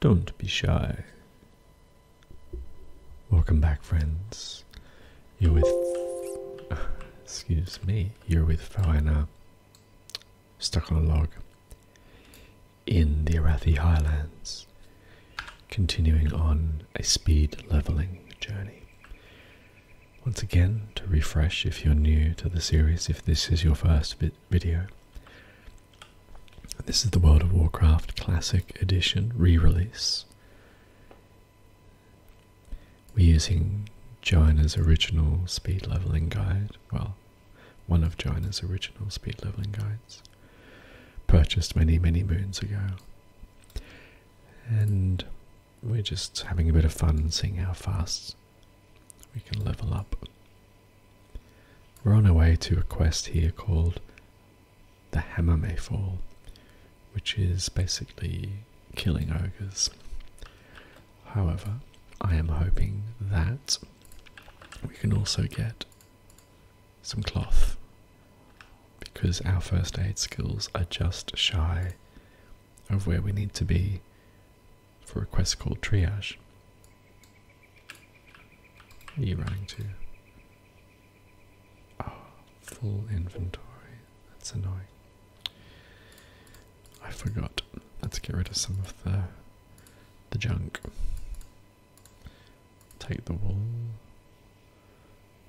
Don't be shy. Welcome back, friends. You're with. Excuse me. You're with Fauna. Stuck on a log. In the Arathi Highlands. Continuing on a speed leveling journey. Once again, to refresh if you're new to the series, if this is your first video, this is the World of Warcraft Classic Edition re release. We're using Joanna's original speed leveling guide, well, one of Joanna's original speed leveling guides, purchased many, many moons ago. And we're just having a bit of fun seeing how fast we can level up. We're on our way to a quest here called The Hammer May Fall, which is basically killing ogres. However, I am hoping that we can also get some cloth because our first aid skills are just shy of where we need to be for a quest called Triage. Are you running too? Oh, ah, full inventory. That's annoying. I forgot. Let's get rid of some of the the junk. Take the wool.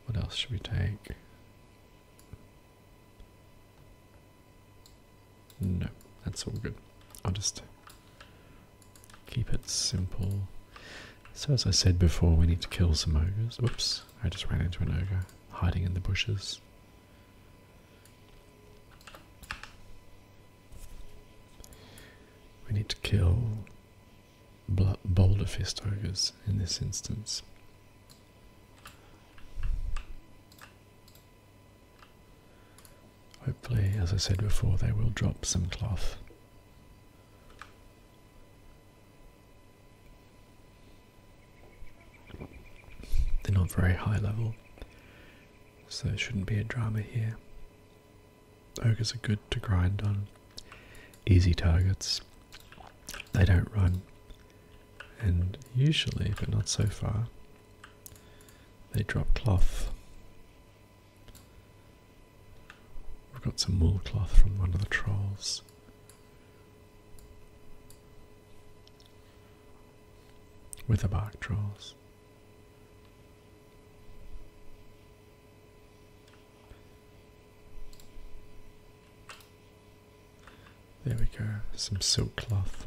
What else should we take? No, that's all good. I'll just Keep it simple. So as I said before, we need to kill some ogres. Whoops, I just ran into an ogre hiding in the bushes. We need to kill boulder fist ogres in this instance. Hopefully, as I said before, they will drop some cloth. They're not very high level, so there shouldn't be a drama here. Ogres are good to grind on, easy targets, they don't run, and usually, but not so far, they drop cloth. We've got some wool cloth from one of the trolls. With the bark trolls. There we go, some silk cloth.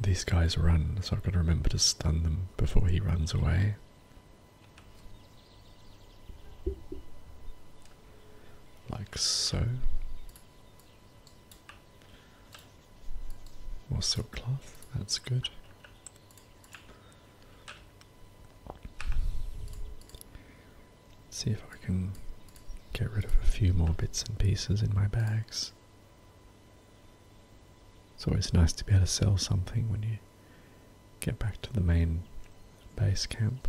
These guys run, so I've got to remember to stun them before he runs away. Like so. More silk cloth, that's good see if I can get rid of a few more bits and pieces in my bags. It's always nice to be able to sell something when you get back to the main base camp.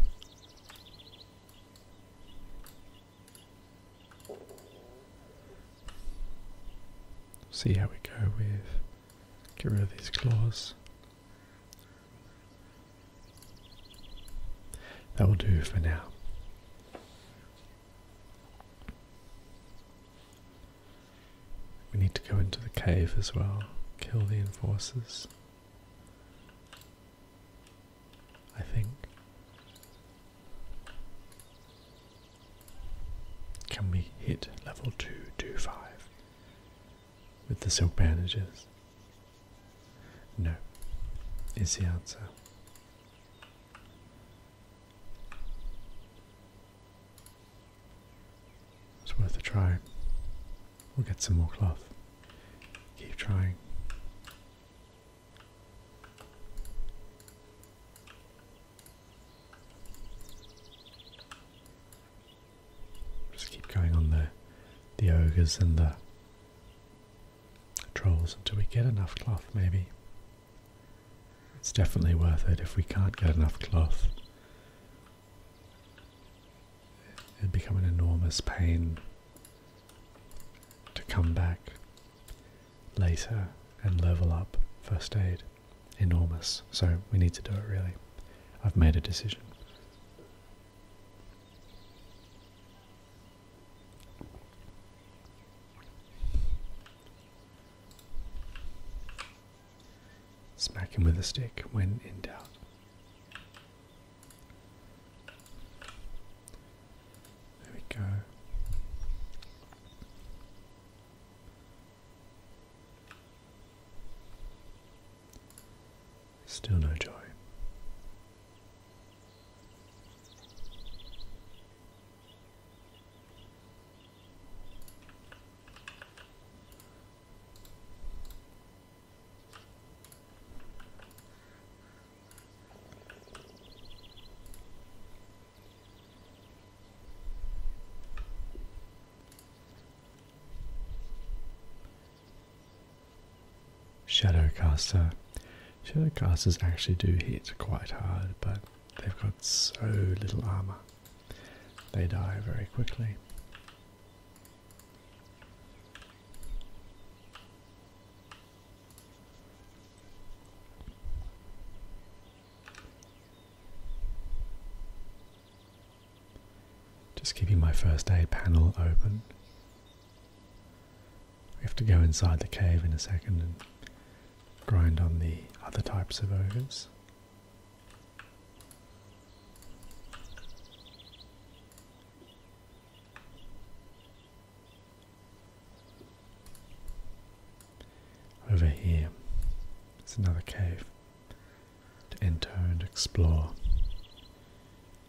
See how we go with get rid of these claws. That will do for now. We need to go into the cave as well, kill the enforcers. I think. Can we hit level 225 with the silk bandages? No, is the answer. It's worth a try. We'll get some more cloth. Keep trying. Just keep going on the the ogres and the trolls until we get enough cloth maybe. It's definitely worth it if we can't get enough cloth. It'd become an enormous pain to come back later and level up first aid. Enormous. So we need to do it really. I've made a decision. Smack him with a stick when in doubt. There we go. Still no joy. Shadowcaster. Shadowcasters actually do hit quite hard, but they've got so little armor. They die very quickly. Just keeping my first aid panel open. We have to go inside the cave in a second and grind on the other types of ogres. Over here is another cave to enter and explore.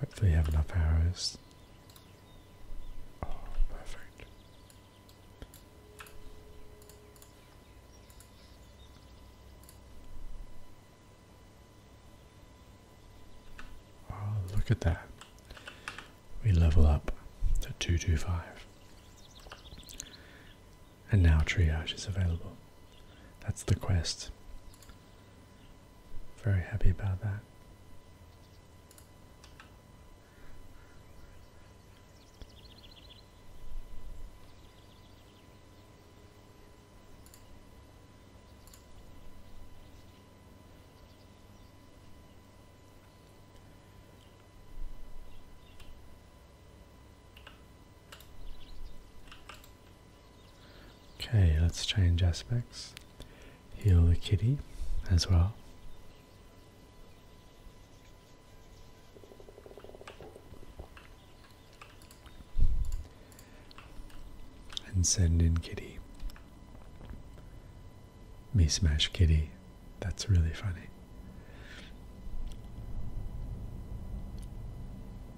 Hopefully you have enough arrows. Oh, perfect. Oh, look at that. We level up to 225. And now triage is available. That's the quest. Very happy about that. Okay, let's change aspects. Heal the kitty as well. And send in kitty. Me smash kitty. That's really funny.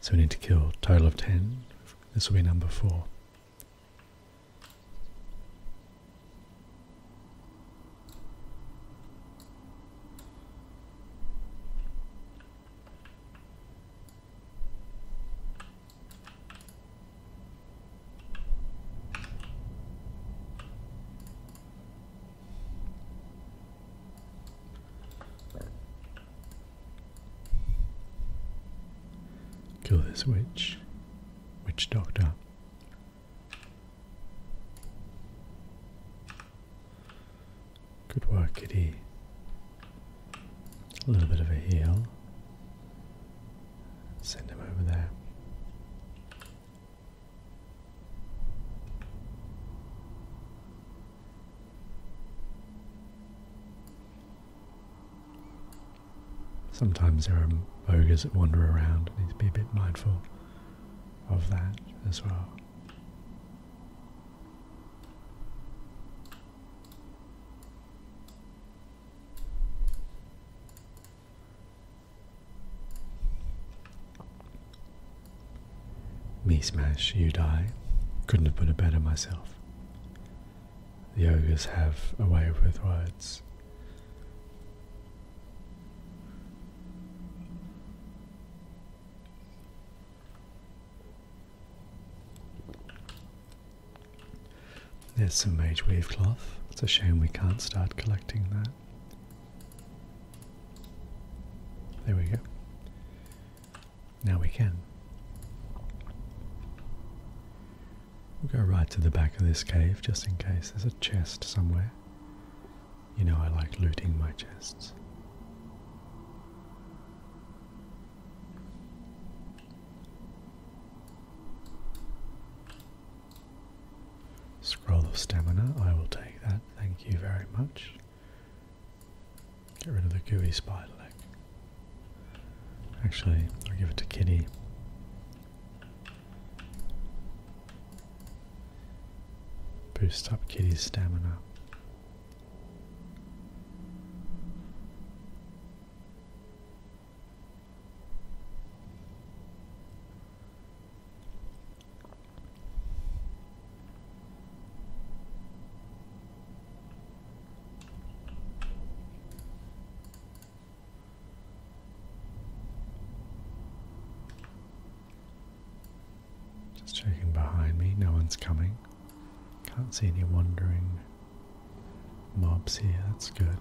So we need to kill a total of 10. This will be number 4. Kill this witch. Witch doctor. Good work, kitty. A little bit of a heal. Send him over there. Sometimes there are ogres that wander around. You need to be a bit mindful of that as well. Me smash, you die. Couldn't have put it better myself. The ogres have a way with words. There's some mage weave cloth. It's a shame we can't start collecting that. There we go. Now we can. We'll go right to the back of this cave just in case there's a chest somewhere. You know I like looting my chests. Scroll of stamina, I will take that, thank you very much. Get rid of the gooey spider leg. Actually, I'll give it to Kitty. Boost up Kitty's stamina. Just checking behind me, no one's coming. Can't see any wandering mobs here, that's good.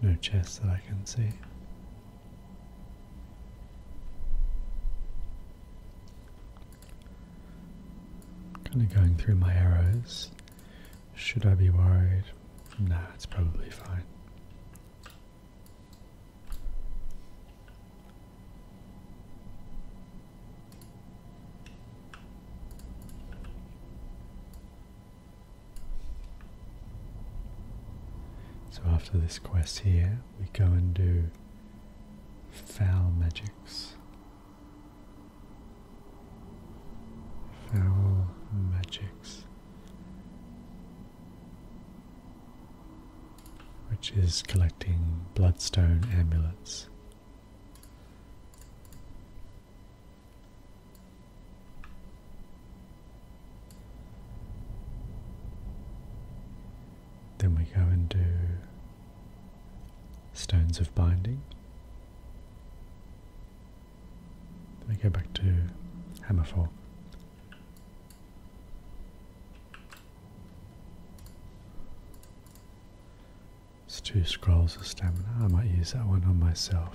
No chest that I can see. Kind of going through my arrows. Should I be worried? Nah, it's probably fine. So after this quest here, we go and do foul magics. Foul magics which is collecting bloodstone amulets. Then we go and do stones of binding. we go back to hammerfall. It's two scrolls of stamina. I might use that one on myself.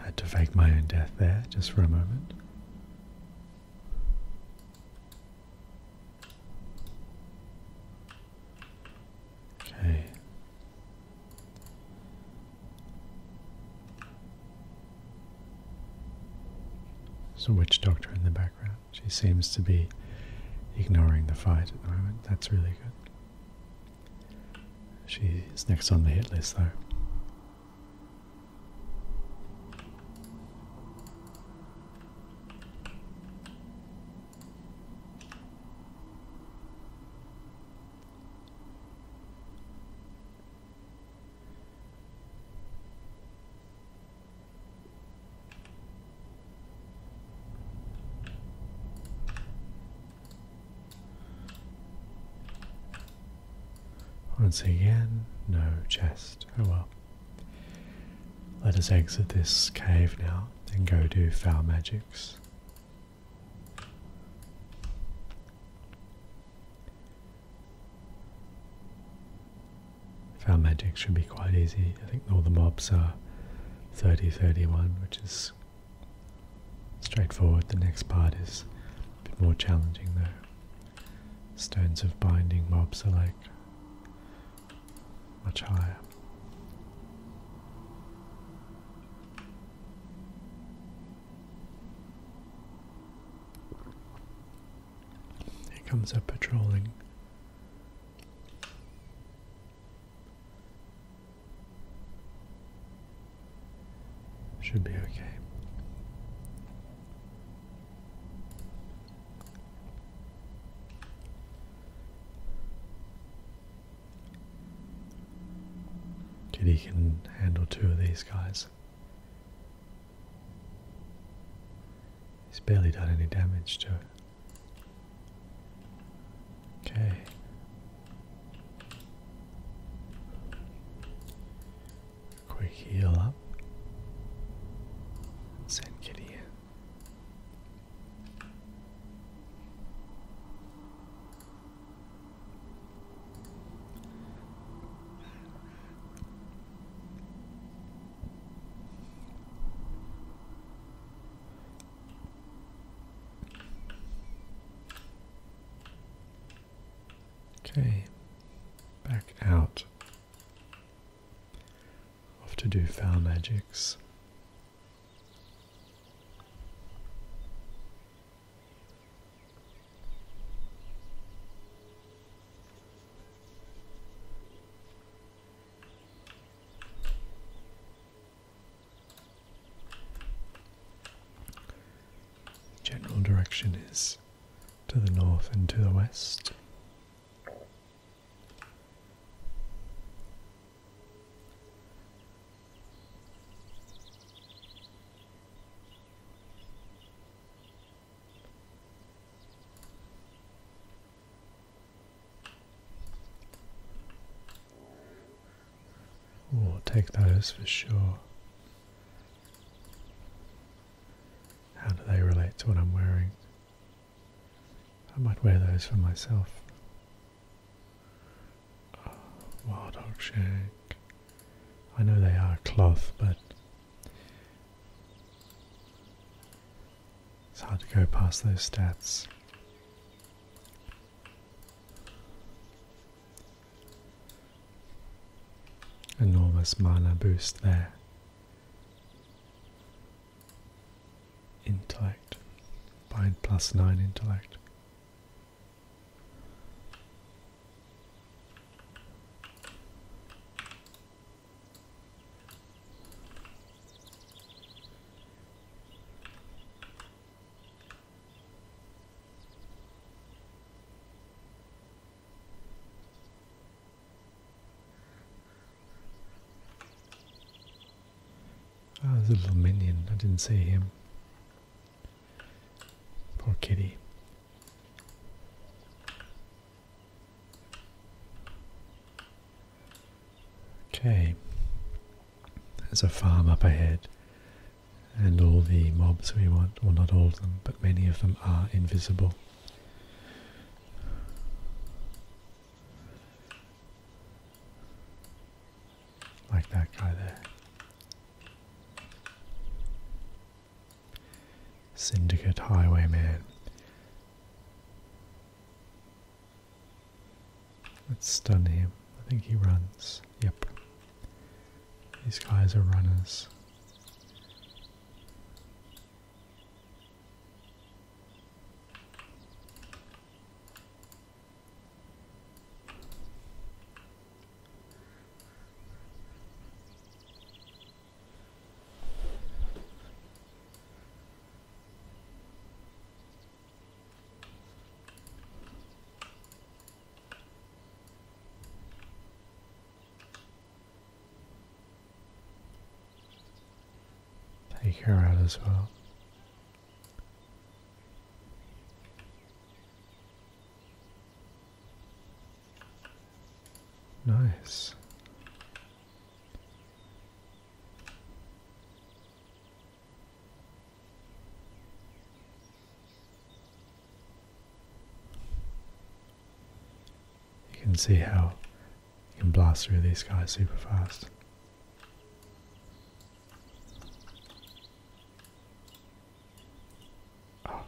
I had to fake my own death there just for a moment. Okay. There's a witch doctor in the background. She seems to be ignoring the fight at the moment. That's really good. She's next on the hit list, though. Once again, no chest. Oh well. Let us exit this cave now and go do Foul Magics. Foul magics should be quite easy. I think all the mobs are 30 31, which is straightforward. The next part is a bit more challenging, though. Stones of binding mobs are like much higher. Here comes a patrolling. Should be okay. Kitty can handle two of these guys. He's barely done any damage to it. Okay. Quick heal up. Send Kitty in. Okay, back out. Off to do foul magics. General direction is to the north and to the west we take those for sure. How do they relate to what I'm wearing? I might wear those for myself. Oh, wild hog shank. I know they are cloth, but it's hard to go past those stats. Enormous mana boost there. Intellect. Bind plus nine intellect. Ah, oh, the little minion. I didn't see him. Poor kitty. Okay. There's a farm up ahead, and all the mobs we want, well, not all of them, but many of them are invisible. Like that guy there. Syndicate Highwayman. Let's stun him. I think he runs. Yep. These guys are runners. Take her out as well. Nice. You can see how you can blast through these guys super fast. Ah.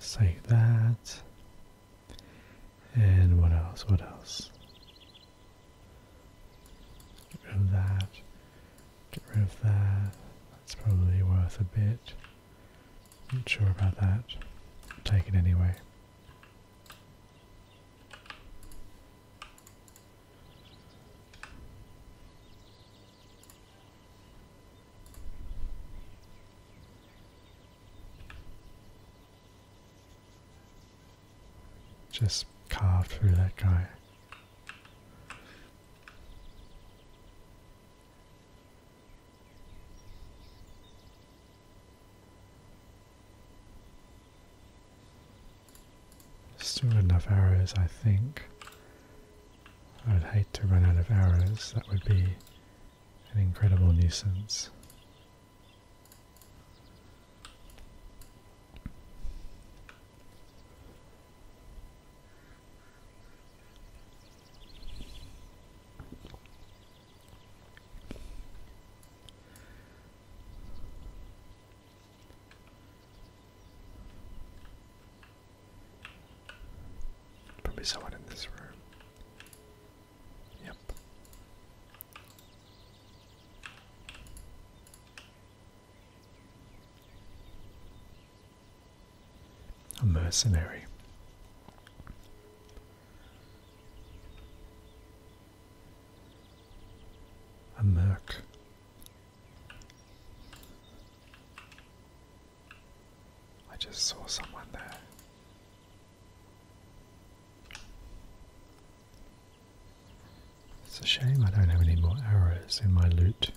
Save that. And what else? What else? Get rid of that. Get rid of that. That's probably worth a bit. Not sure about that. Take it anyway. Just carved through that guy. Still enough arrows, I think. I'd hate to run out of arrows, that would be an incredible nuisance. Probably someone in this room. A mercenary. A merc. I just saw someone there. It's a shame I don't have any more arrows in my loot.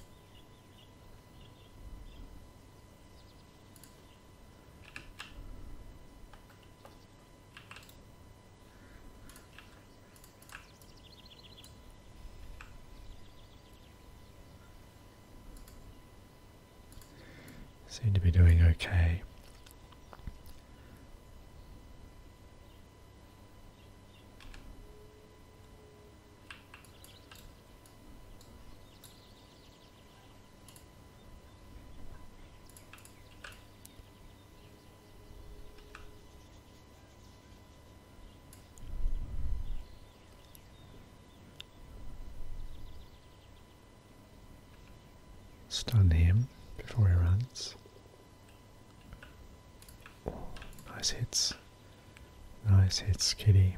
Seem to be doing okay. Stun him before he runs. nice hits. Nice hits, kitty.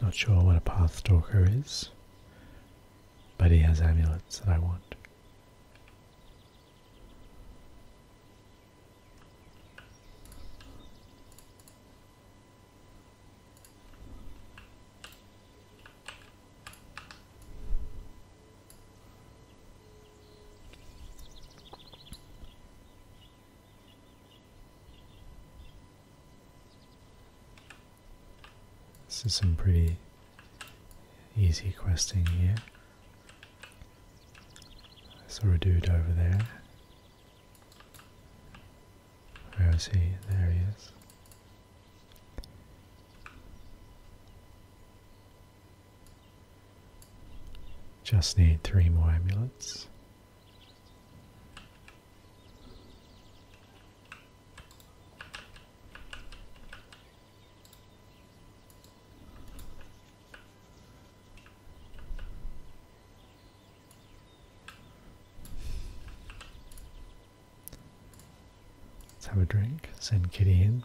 Not sure what a Path Stalker is, but he has amulets that I want. This is some pretty easy questing here. I saw a dude over there. Where oh, is he? There he is. Just need three more amulets. Let's have a drink, send Kitty in.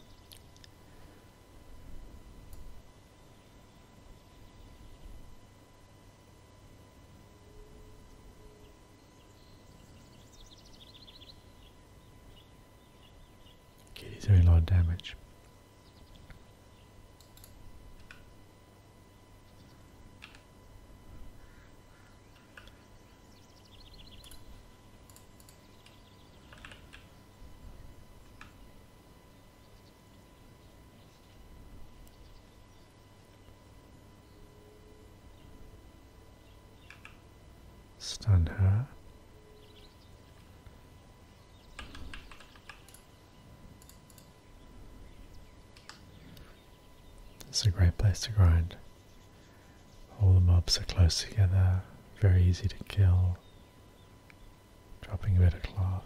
Okay, he's doing a lot of damage. Stun her. It's a great place to grind. All the mobs are close together, very easy to kill. Dropping a bit of cloth.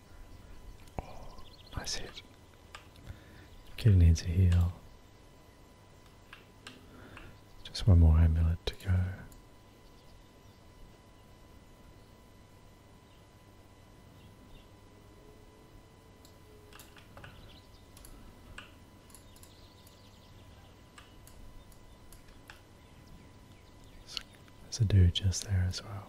Oh, nice hit. Kid needs a heal. Just one more amulet to go. There's a dude just there as well.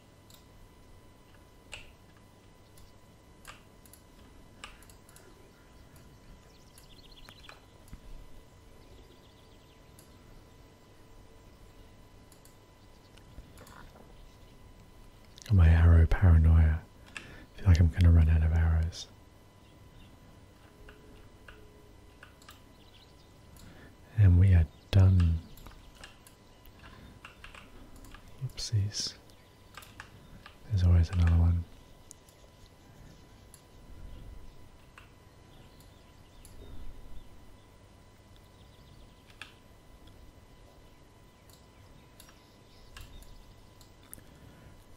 my arrow paranoia. I feel like I'm going to run out of arrows. And we are done Oopsies. There's always another one.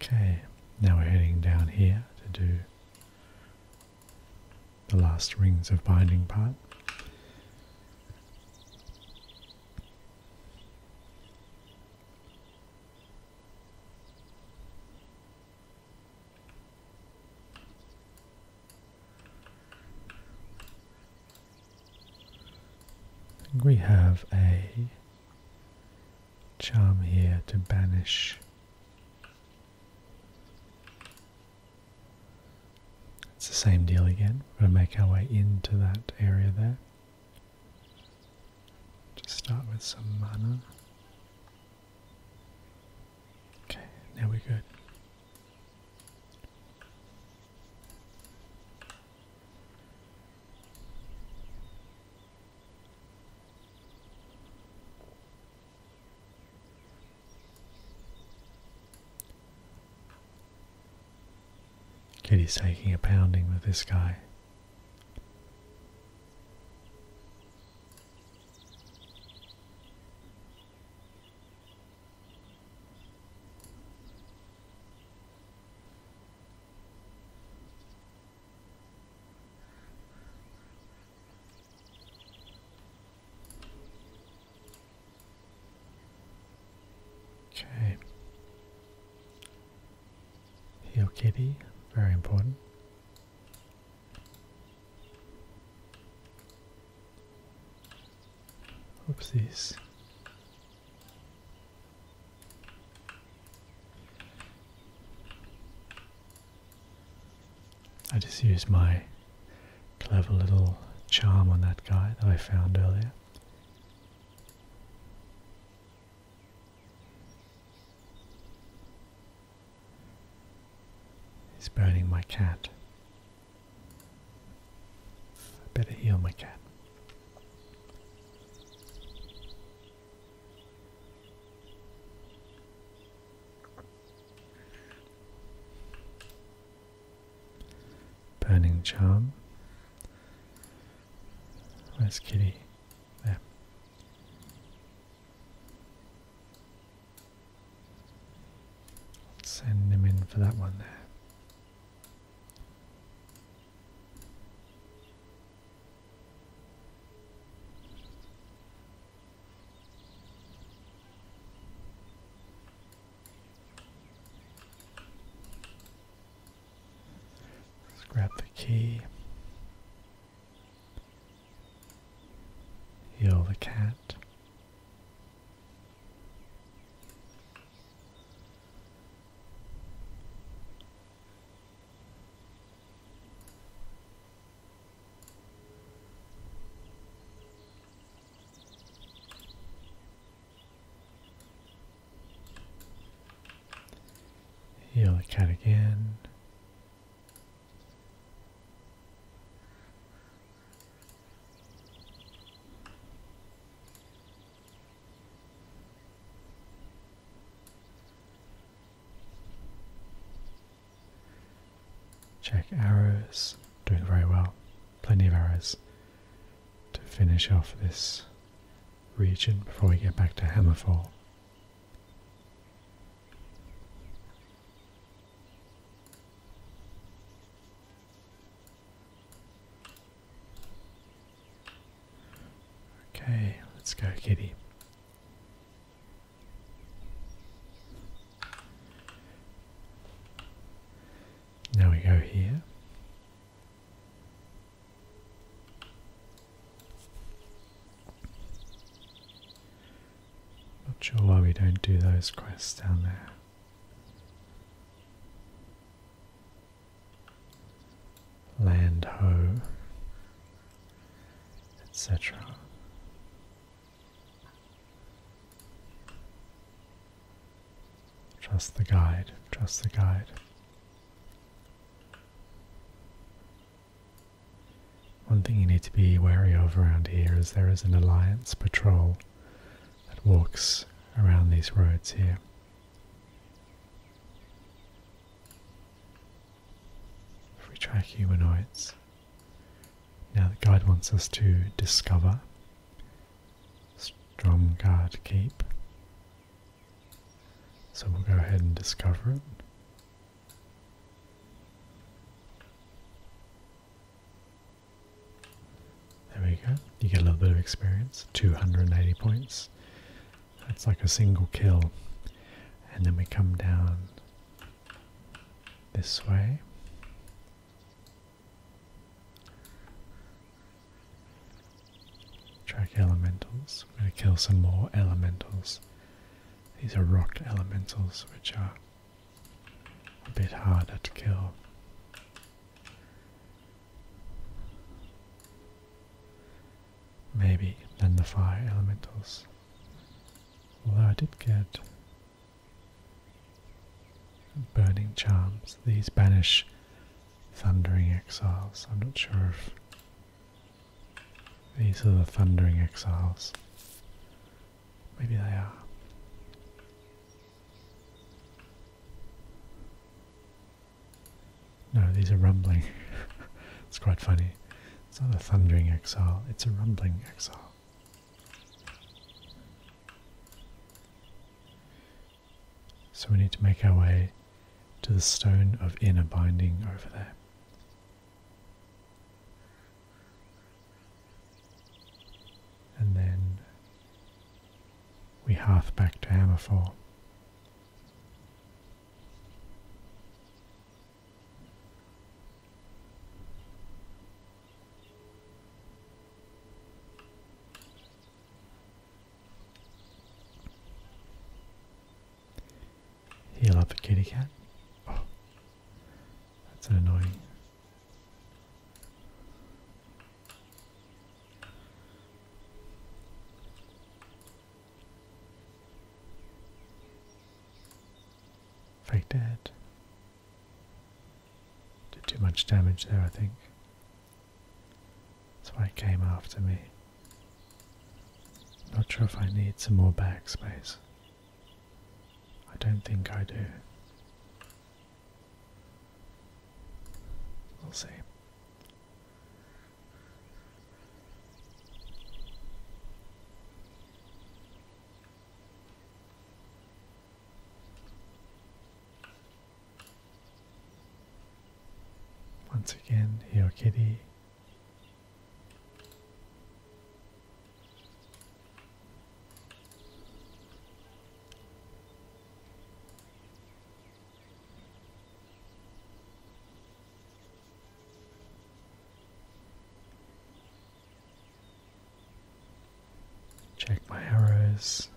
Okay, now we're heading down here to do the last rings of binding part. we have a charm here to banish it's the same deal again. We're going to make our way into that area there. Just start with some mana. Okay, now we're good. Kitty's taking a pounding with this guy. Okay. Heal kitty, very important. Oopsies. I just used my clever little charm on that guy that I found earlier. He's burning my cat. I better heal my cat. Burning Charm. Where's Kitty? There. send him in for that one there grab the key. Heal the cat. Yellow cat again. Check arrows. Doing very well. Plenty of arrows to finish off this region before we get back to Hammerfall. Okay, let's go, kitty. Now we go here. Not sure why we don't do those quests down there. Land ho, etc. Trust the guide, trust the guide. One thing you need to be wary of around here is there is an alliance patrol that walks around these roads here. If we track humanoids, now the guide wants us to discover Stromgard Keep. So we'll go ahead and discover it. There we go. You get a little bit of experience, 280 points. That's like a single kill. And then we come down this way. Track elementals. I'm going to kill some more elementals. These are rock elementals, which are a bit harder to kill. Maybe than the fire elementals. Although I did get Burning charms. These banish thundering exiles. I'm not sure if these are the thundering exiles. Maybe they are. No, these are rumbling. it's quite funny. It's not a thundering exile, it's a rumbling exile. So we need to make our way to the stone of inner binding over there. And then we hark back to Hammerfall. Heal up a kitty cat. Oh, that's an annoying. Fake dead. Did too much damage there, I think. That's why it came after me. not sure if I need some more space. I don't think I do. We'll see. Once again, your kitty. Check my arrows.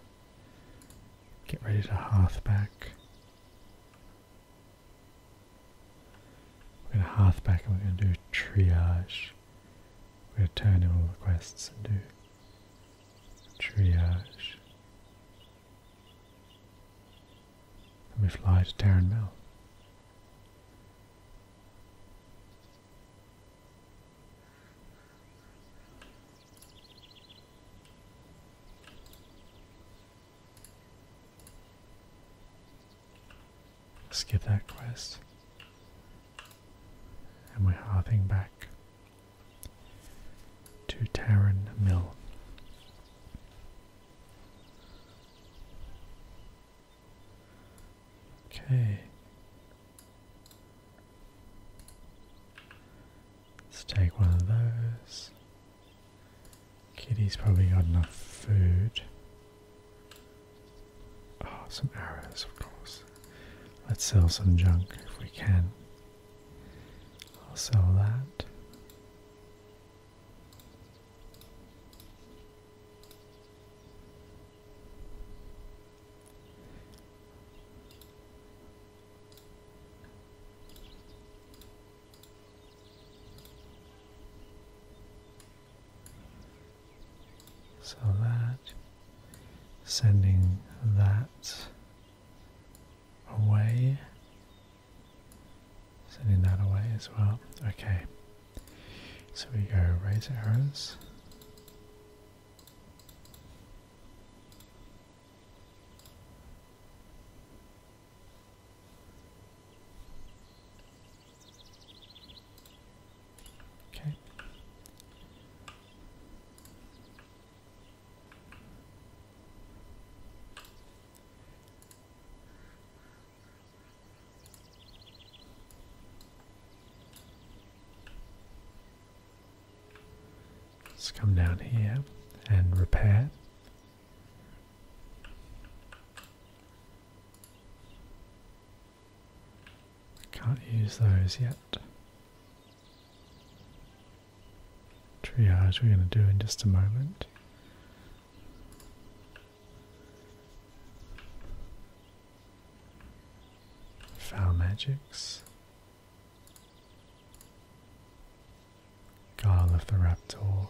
Get ready to hearth back. We're going to hearth back and we're going to do triage. We're going to turn in all the quests and do triage. And we fly to Terran Mill. Skip that quest. And we're hearting back to Tarran Mill. Okay. Let's take one of those. Kitty's probably got enough food. Oh, some arrows, of course. Let's sell some junk if we can. I'll sell that. So that, sending that away, sending that away as well. Okay, so we go raise arrows. Okay. Let's come down here and repair. Can't use those yet. Triage we're going to do in just a moment. Foul Magics, Guile of the Raptor,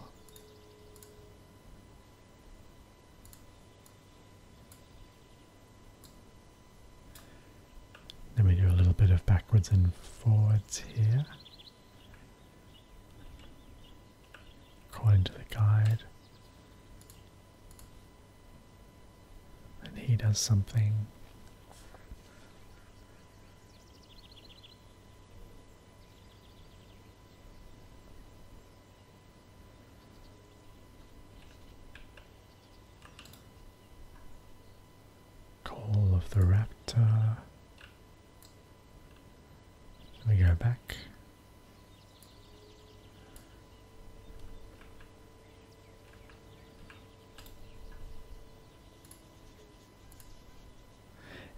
Let me do a little bit of backwards and forwards here. According to the guide, and he does something. Call of the Raptor. We go back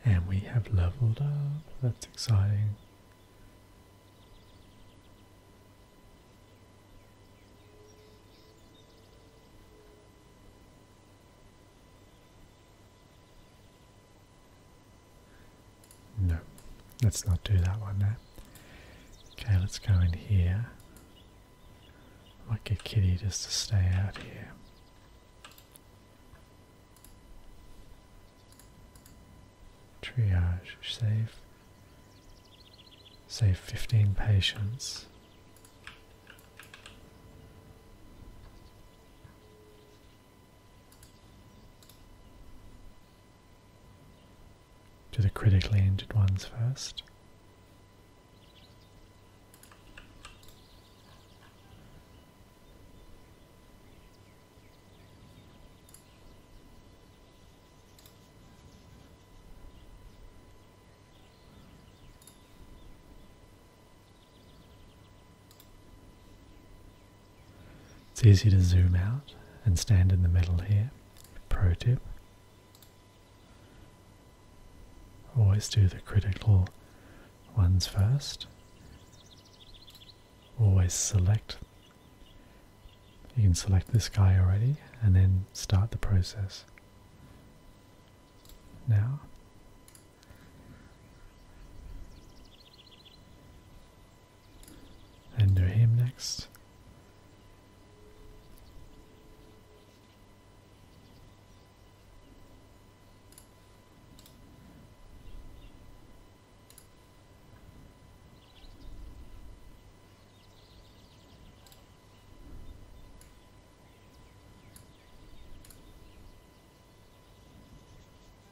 and we have leveled up. That's exciting. No, let's not do that one There. Okay, let's go in here. I might get Kitty just to stay out here. Triage, save. Save 15 patients to the critically injured ones first. It's easy to zoom out and stand in the middle here. Pro tip. Always do the critical ones first. Always select. You can select this guy already and then start the process. Now. Under him next.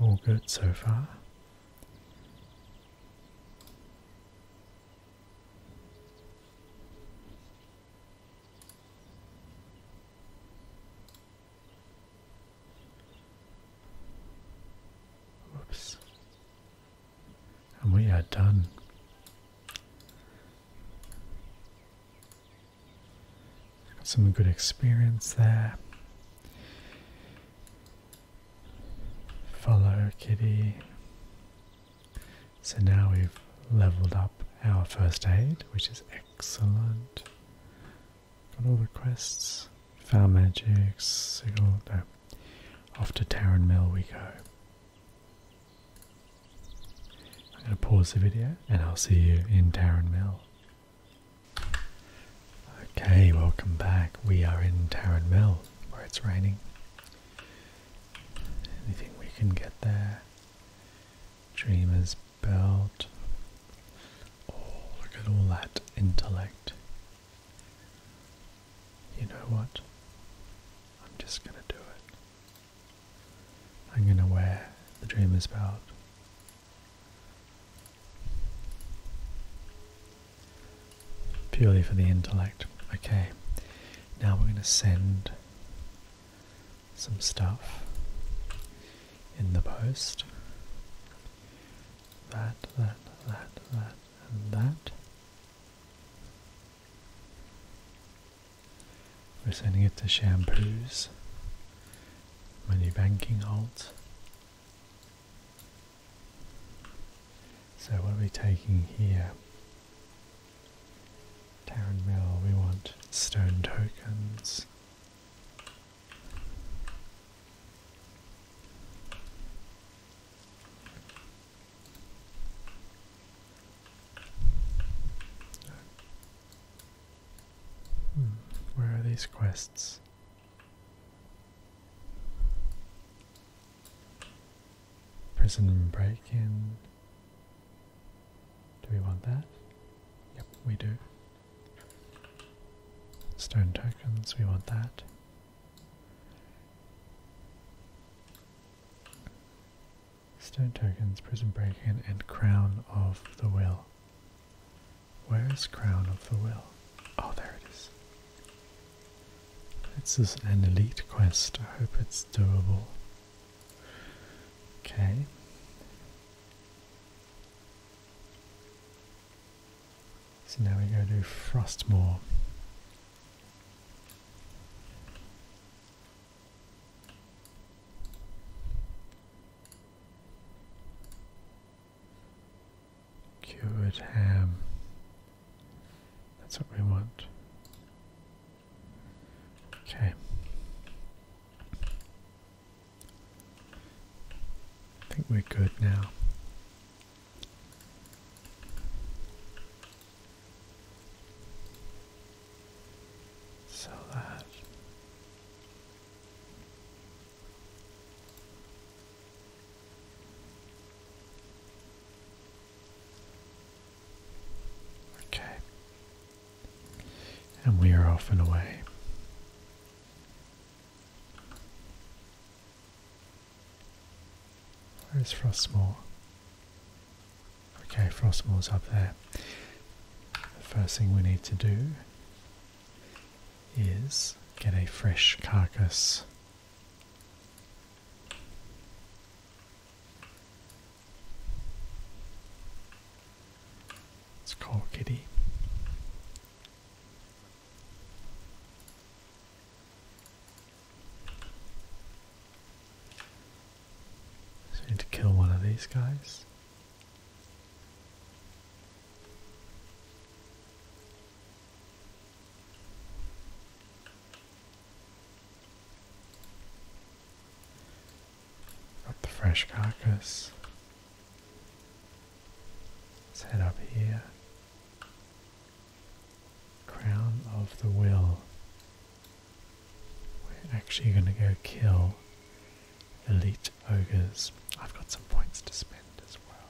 All good so far. Whoops. And we are done. Got some good experience there. Follow kitty. So now we've leveled up our first aid, which is excellent. Got all the quests. Found magic, signal, no. Off to Taran Mill we go. I'm going to pause the video and I'll see you in Tarrant Mill. Okay, welcome back. We are in Tarrant Mill where it's raining. Anything we can get there. Dreamer's Belt. Oh, look at all that intellect. You know what? I'm just going to do it. I'm going to wear the Dreamer's Belt. Purely for the intellect. Okay, now we're going to send some stuff in the post. That, that, that, that, and that. We're sending it to shampoos. Money banking halt. So what are we taking here? Tarran Mill, we want stone tokens. Hmm, where are these quests? Prison break in. Do we want that? Yep, we do. Stone tokens, we want that. Stone tokens, prison break-in, and crown of the will. Where is crown of the will? Oh, there it is. This is an elite quest. I hope it's doable. Okay. So now we go to Frostmoor. Cured ham. That's what we want. Okay. I think we're good now. So that. Okay. And we are off and away. Where's Frostmore? Okay, Frostmore's up there. The first thing we need to do is get a fresh carcass. It's called kitty. So we need to kill one of these guys. Got the fresh carcass. Let's head up here. Crown of the Will. We're actually going to go kill elite ogres. I've got some points to spend as well.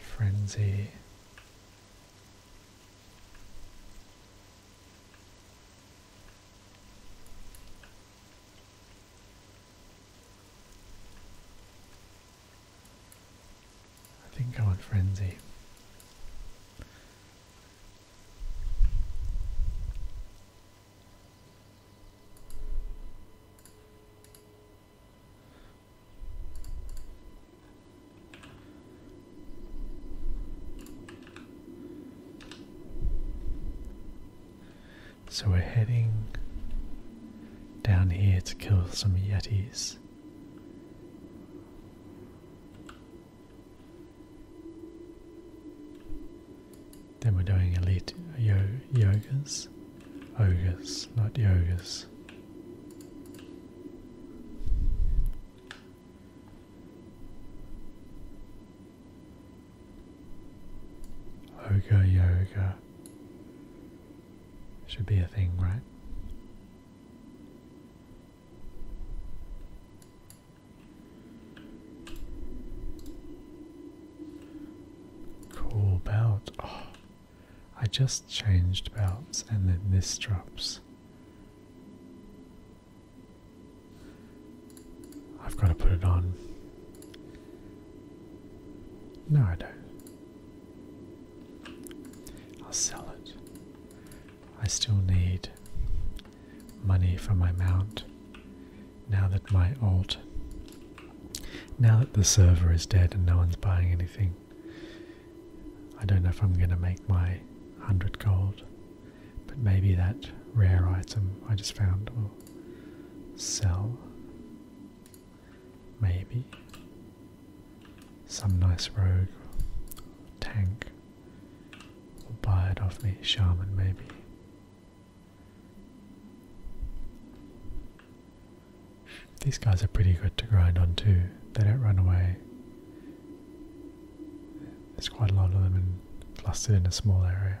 Frenzy. I think I want frenzy. So we're heading down here to kill some yetis. Then we're doing elite yo yogas, ogres, not yogas. Yoga, yoga should be a thing, right? Cool belt. Oh, I just changed belts and then this drops. I've got to put it on. No, I don't. I'll sell it. I still need money for my mount. Now that my alt. Now that the server is dead and no one's buying anything, I don't know if I'm going to make my 100 gold. But maybe that rare item I just found will sell. Maybe. Some nice rogue tank will buy it off me, shaman maybe. These guys are pretty good to grind on too. They don't run away. There's quite a lot of them in, clustered in a small area.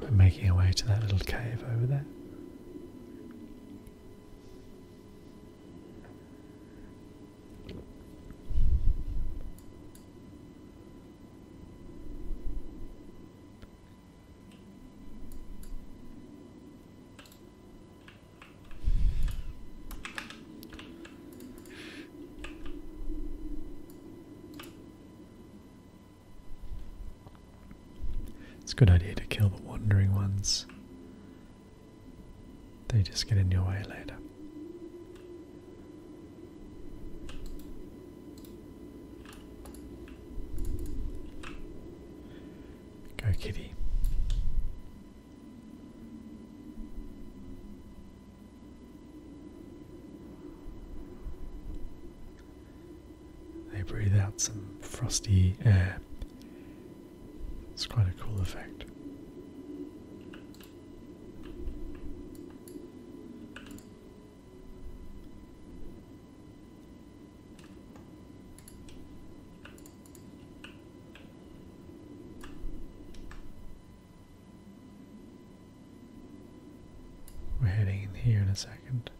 We're making our way to that little cave over there. It's a good idea to kill the wandering ones. They just get in your way later. Go, kitty. They breathe out some frosty air. It's quite a cool effect. We're heading in here in a second.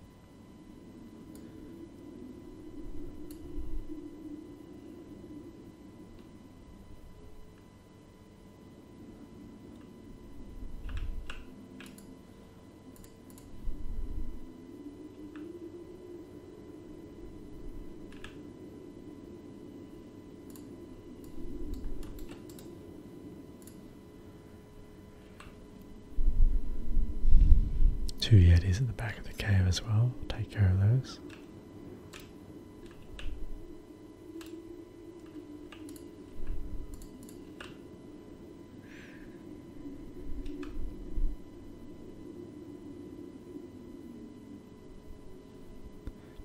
Two yetis at the back of the cave as well. Take care of those.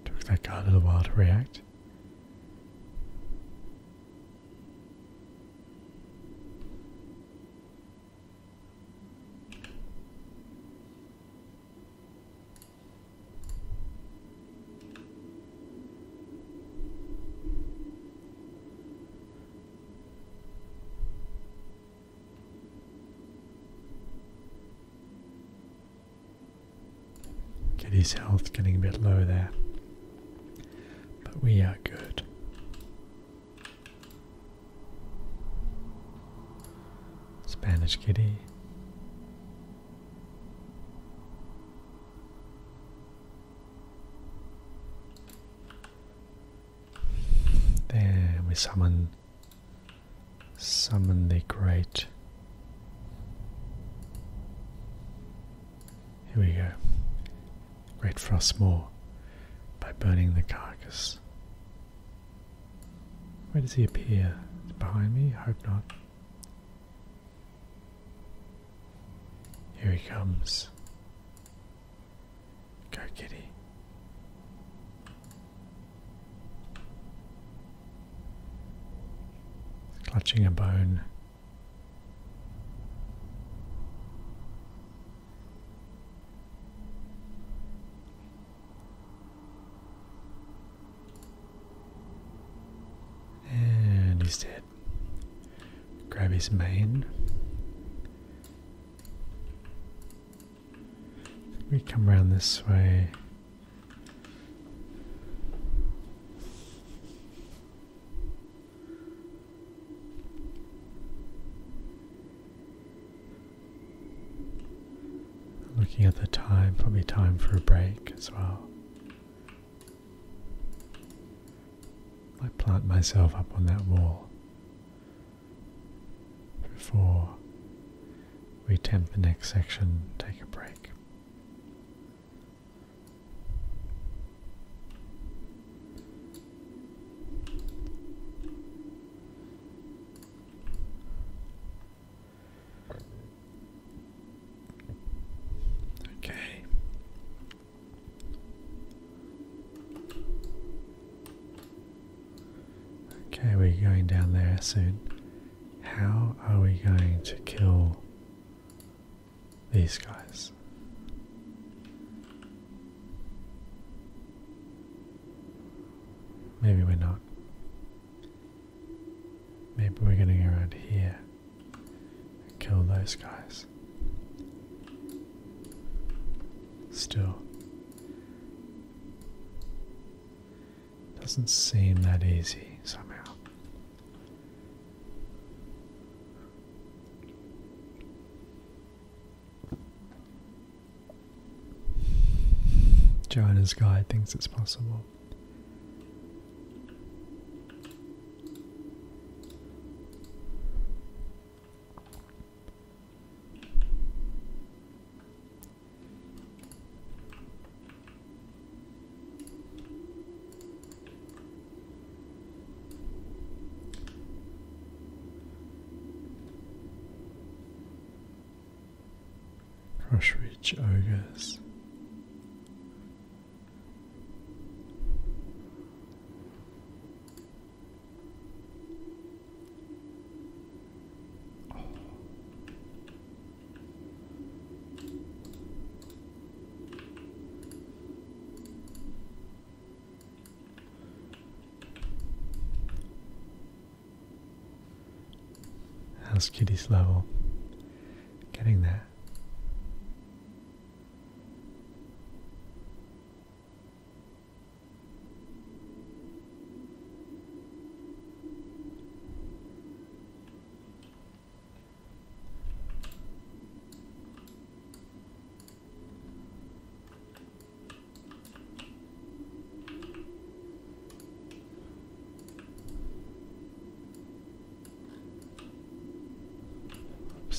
Took that guy a little while to react. Kitty's health getting a bit low there. But we are good. Spanish kitty. There we summon summon the great. Here we go. Great Frostmore by burning the carcass. Where does he appear? Behind me? Hope not. Here he comes. Go, kitty. Clutching a bone. And he's dead. Grab his mane. We come around this way. Looking at the time, probably time for a break as well. I plant myself up on that wall before we attempt the next section, take a break. Okay. Okay, we're going down there soon. How are we going to kill these guys? Maybe we're not. Maybe we're getting around here and kill those guys. Still. Doesn't seem that easy somehow. Joanna's guide thinks it's possible. Rush Ridge Ogres. How's Kitty's level? Getting there.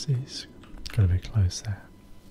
Oopsies, gotta be close there.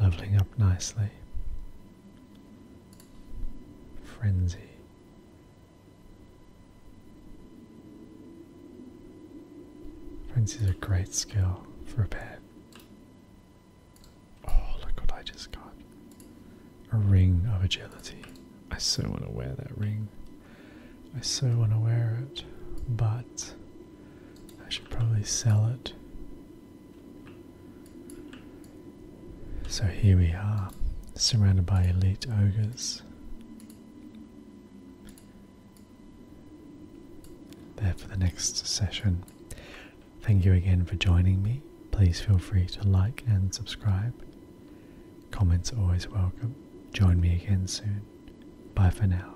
Leveling up nicely. Frenzy. Frenzy is a great skill for a pet. Oh, look what I just got. A ring of agility. I so want to wear that ring. I so want to wear it, but I should probably sell it. So here we are, surrounded by elite ogres. There for the next session. Thank you again for joining me. Please feel free to like and subscribe. Comments always welcome. Join me again soon. Bye for now.